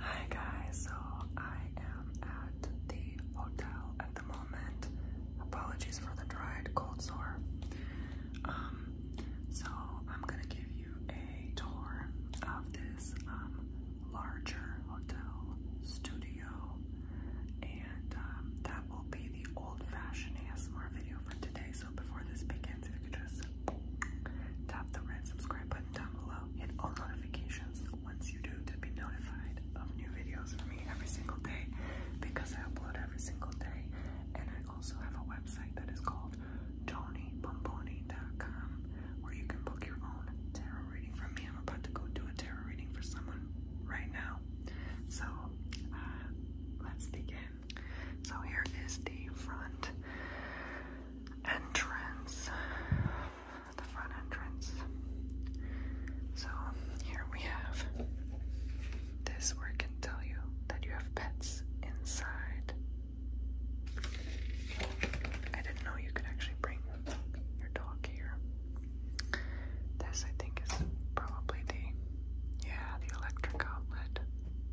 Hi guys, so I am at the hotel at the moment. Apologies for the dried cold sore. Um, so I'm gonna give you a tour of this um, larger hotel studio, and um, that will be the old-fashioned ASMR video today. So before this begins, if you could just tap the red subscribe button down below, hit all notifications once you do to be notified of new videos from me every single day because I upload every single day. And I also have a website that is called TonyBomboni.com where you can book your own tarot reading from me. I'm about to go do a tarot reading for someone right now. So uh, let's begin. So here is the front entrance. The front entrance. So here we have this where it can tell you that you have pets inside. I didn't know you could actually bring your dog here. This I think is probably the yeah, the electric outlet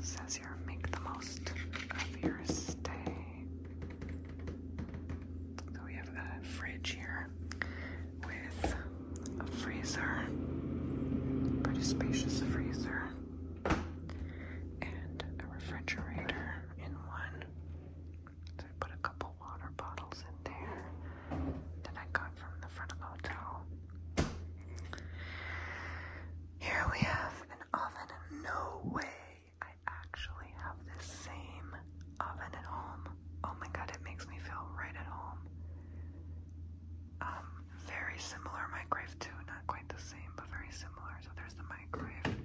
says here, make the most of your stay. So we have a fridge here with a freezer, pretty spacious freezer, and a refrigerator in one. So I put a couple water bottles in there that I got from the front of the hotel. Here we have an oven. No way! I actually have this same oven at home. Oh my god, it makes me feel right at home. Um, very similar microwave too, not quite the same, but very similar. So there's the microwave.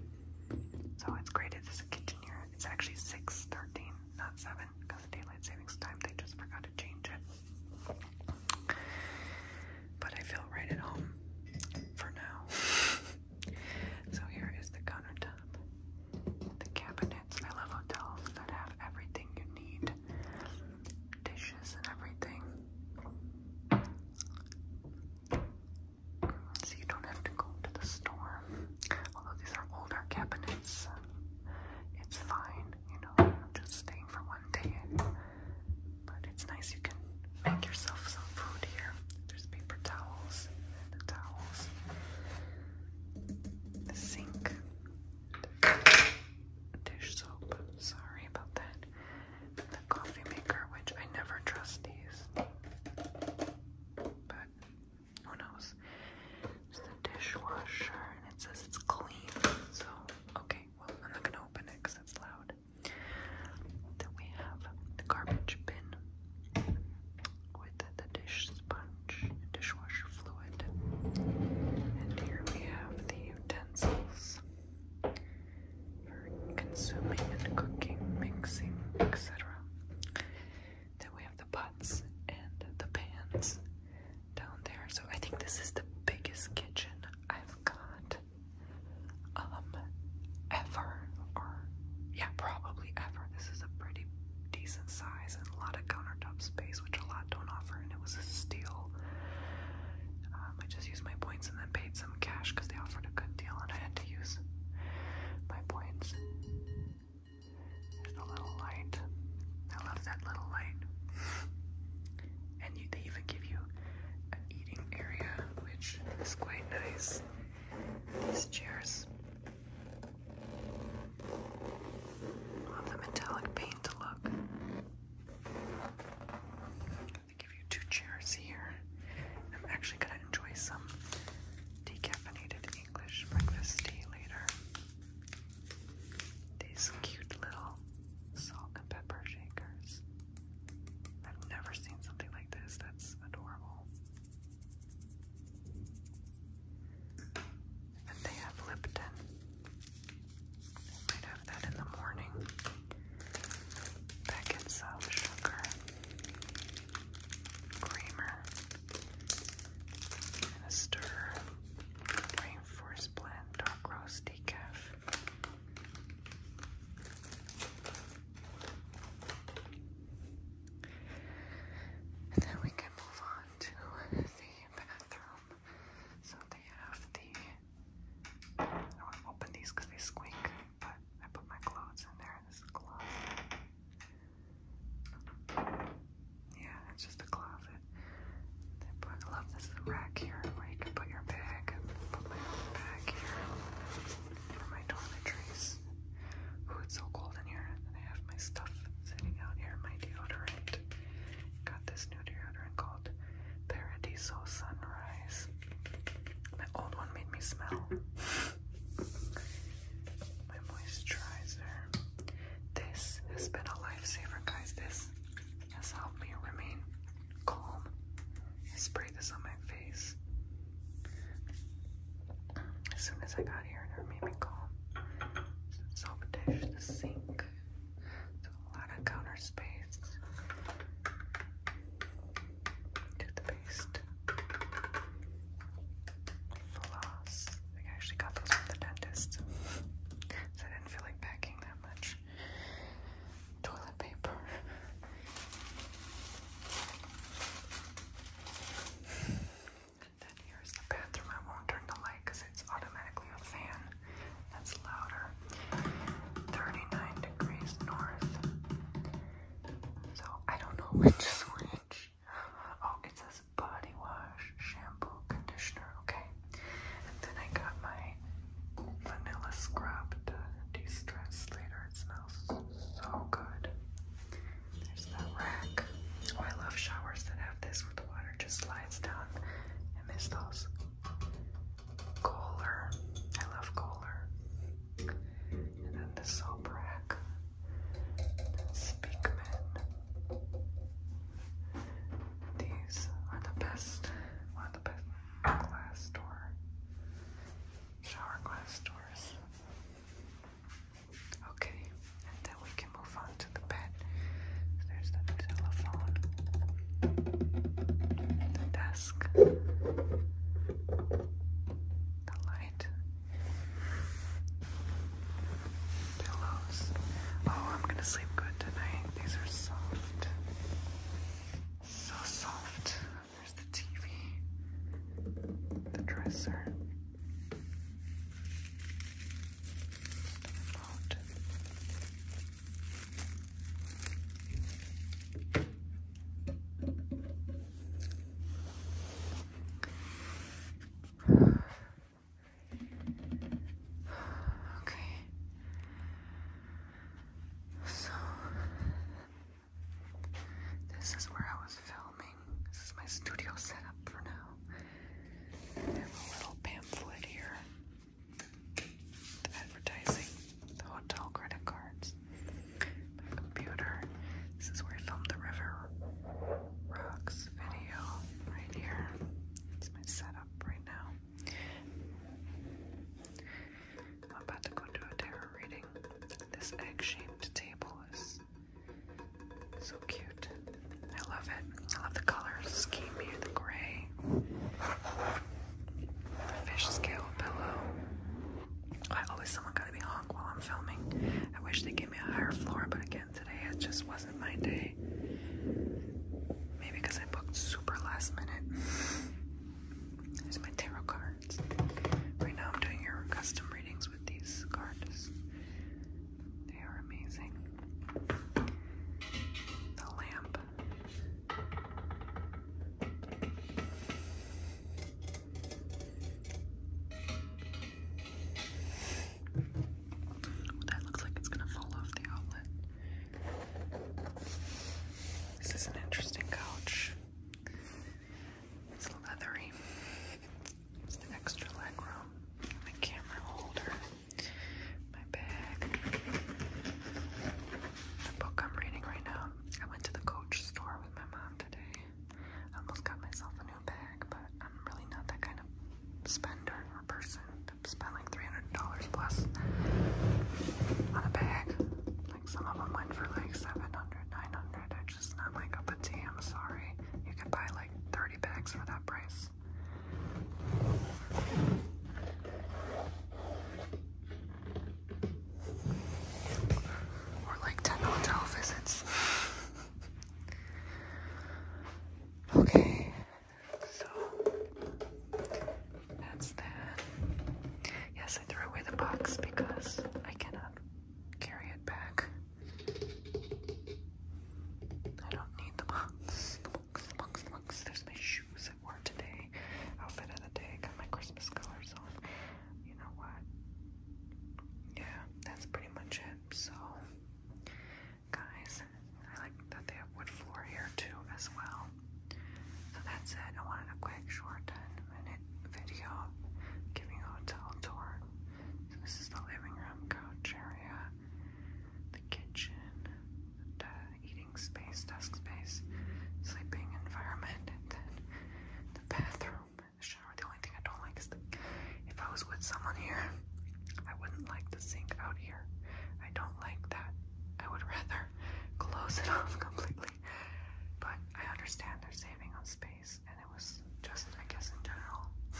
So it's graded as a kitchen here. It's actually 613, not 7 because daylight savings time. They just forgot to change it. But I feel right at home for now. so here is the countertop, the cabinets. I love hotels that have everything you need, dishes and everything. So you don't have to go to the store. Although these are older cabinets, it's fine, you know, I'm just staying for one day. But it's nice you can make yourself some food here. There's paper towels, the towels, the sink, dish soap, sorry about that, the coffee maker, which I never trust these. But who knows? the dishwasher and it says it's clean. So, okay, well, I'm not gonna open it because it's loud. Then we have the garbage bin with the dish sponge and dishwasher fluid. And here we have the utensils for consuming and cooking, mixing, etc. Then we have the pots and the pans down there. So I think this is the biggest kitchen I've got um ever or yeah, probably ever. This is a pretty decent size and a lot of countertop space, which a lot don't offer, and it was a steal. Um, I just used my points and then paid some cash because they offered a good deal, and I had to use my points. There's the little light. I love that little light. And they even give you an eating area, which is quite nice. These chairs. Love the metallic paint look. They give you two chairs here. I'm actually gonna enjoy some decaffeinated English breakfast tea later. These cute little salt and pepper shakers. I've never seen something like this. That's adorable. And they have Lipton. might have that in the morning. That gets sugar, creamer, and Rainforest blend, dark roast decaf. then we can move on to the bathroom. So they have the. I don't want to open these because they squeak, but I put my clothes in there. This is a yeah, it's just a closet. I love this rack here where you can put your bag put my bag here for my toiletries. Ooh, it's so cold in here. And I have my stuff sitting out here, my deodorant. Got this new deodorant called Paradiso Sunrise. My old one made me smell my moisturizer. This has been a lifesaver, guys. This has helped me remain calm. I sprayed this on my face as soon as I got here, and it made me calm. Soap dish, the sink, a lot of counter space toothpaste, floss. I think I actually got those from the dentist, so I didn't feel like packing that much. Toilet paper. And then here's the bathroom. I won't turn the light because it's automatically a fan. That's louder. 39 degrees north. So I don't know which is Oh, it says body wash, shampoo, conditioner. Okay. And then I got my vanilla scrub to de-stress later. It smells so good. There's that rack. Oh, I love showers that have this where the water just slides down. I miss those. Kohler. I love Kohler and then the Solbrak, the Speakman. These are the best, one of the best glass door, shower glass doors. Okay, and then we can move on to the bed. There's the telephone, the desk, the light. Pillows. Oh, I'm gonna sleep good tonight. These are soft. So soft. There's the TV, the dresser, the remote. Okay. So this is where I was filming. This is my studio setup for now. I have a little pamphlet here. advertising the hotel credit cards, my computer. This is where I filmed the River Rocks video, right here. It's my setup right now. I'm about to go do a tarot reading. This egg-shaped table is so cute. I love it. I love the color scheme here, the gray, the fish scale pillow, I always someone gotta be honk while I'm filming. I wish they gave me a higher floor, but again today it just wasn't my day. Maybe because I booked super last minute. There's my tarot cards. Right now I'm doing your custom readings with these cards. They are amazing. The lamp. That looks like it's gonna fall off the outlet. This is an interesting couch. It's leathery. It's an extra leg My camera holder. My bag. The book I'm reading right now I went to the Coach store with my mom today. I almost got myself a new bag, but I'm really not that kind of spender person to spend like $300 plus on a bag. Like some of them went for like 700 900 I just not like up a tea, I'm sorry. You can buy like 30 bags for that price. Or like 10 hotel visits. okay, so that's that. Yes, I threw away the box because I cannot carry it back. I don't need the box. Crocs. There's my shoes I wore today. Outfit of the day. Got my Christmas colors on. You know what? Yeah, that's pretty much it. So, guys, I like that they have wood floor here too as well. So that's it. I wanted a quick, short, 10-minute video giving a hotel tour. So this is the living room couch area, the kitchen, the desk eating space, desk space, sleeping environment, and then the bathroom, the shower. The only thing I don't like is the, if I was with someone here, I wouldn't like the sink out here. I don't like that. I would rather close it off completely. But I understand they're saving on space, and it was just, I guess, in general,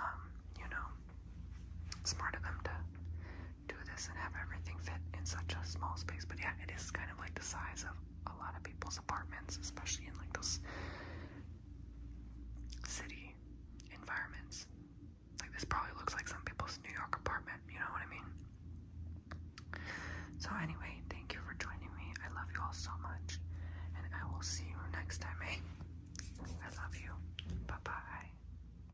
um, you know, smart of them to do this and have everything fit in such a small space. But yeah, it is kind of like the size of a lot of people's apartments, especially in like those city environments. Like this probably looks like some people's New York apartment, you know what I mean? So anyway, thank you for joining me. I love you all so much. And I will see you next time, eh? I love you. Bye-bye.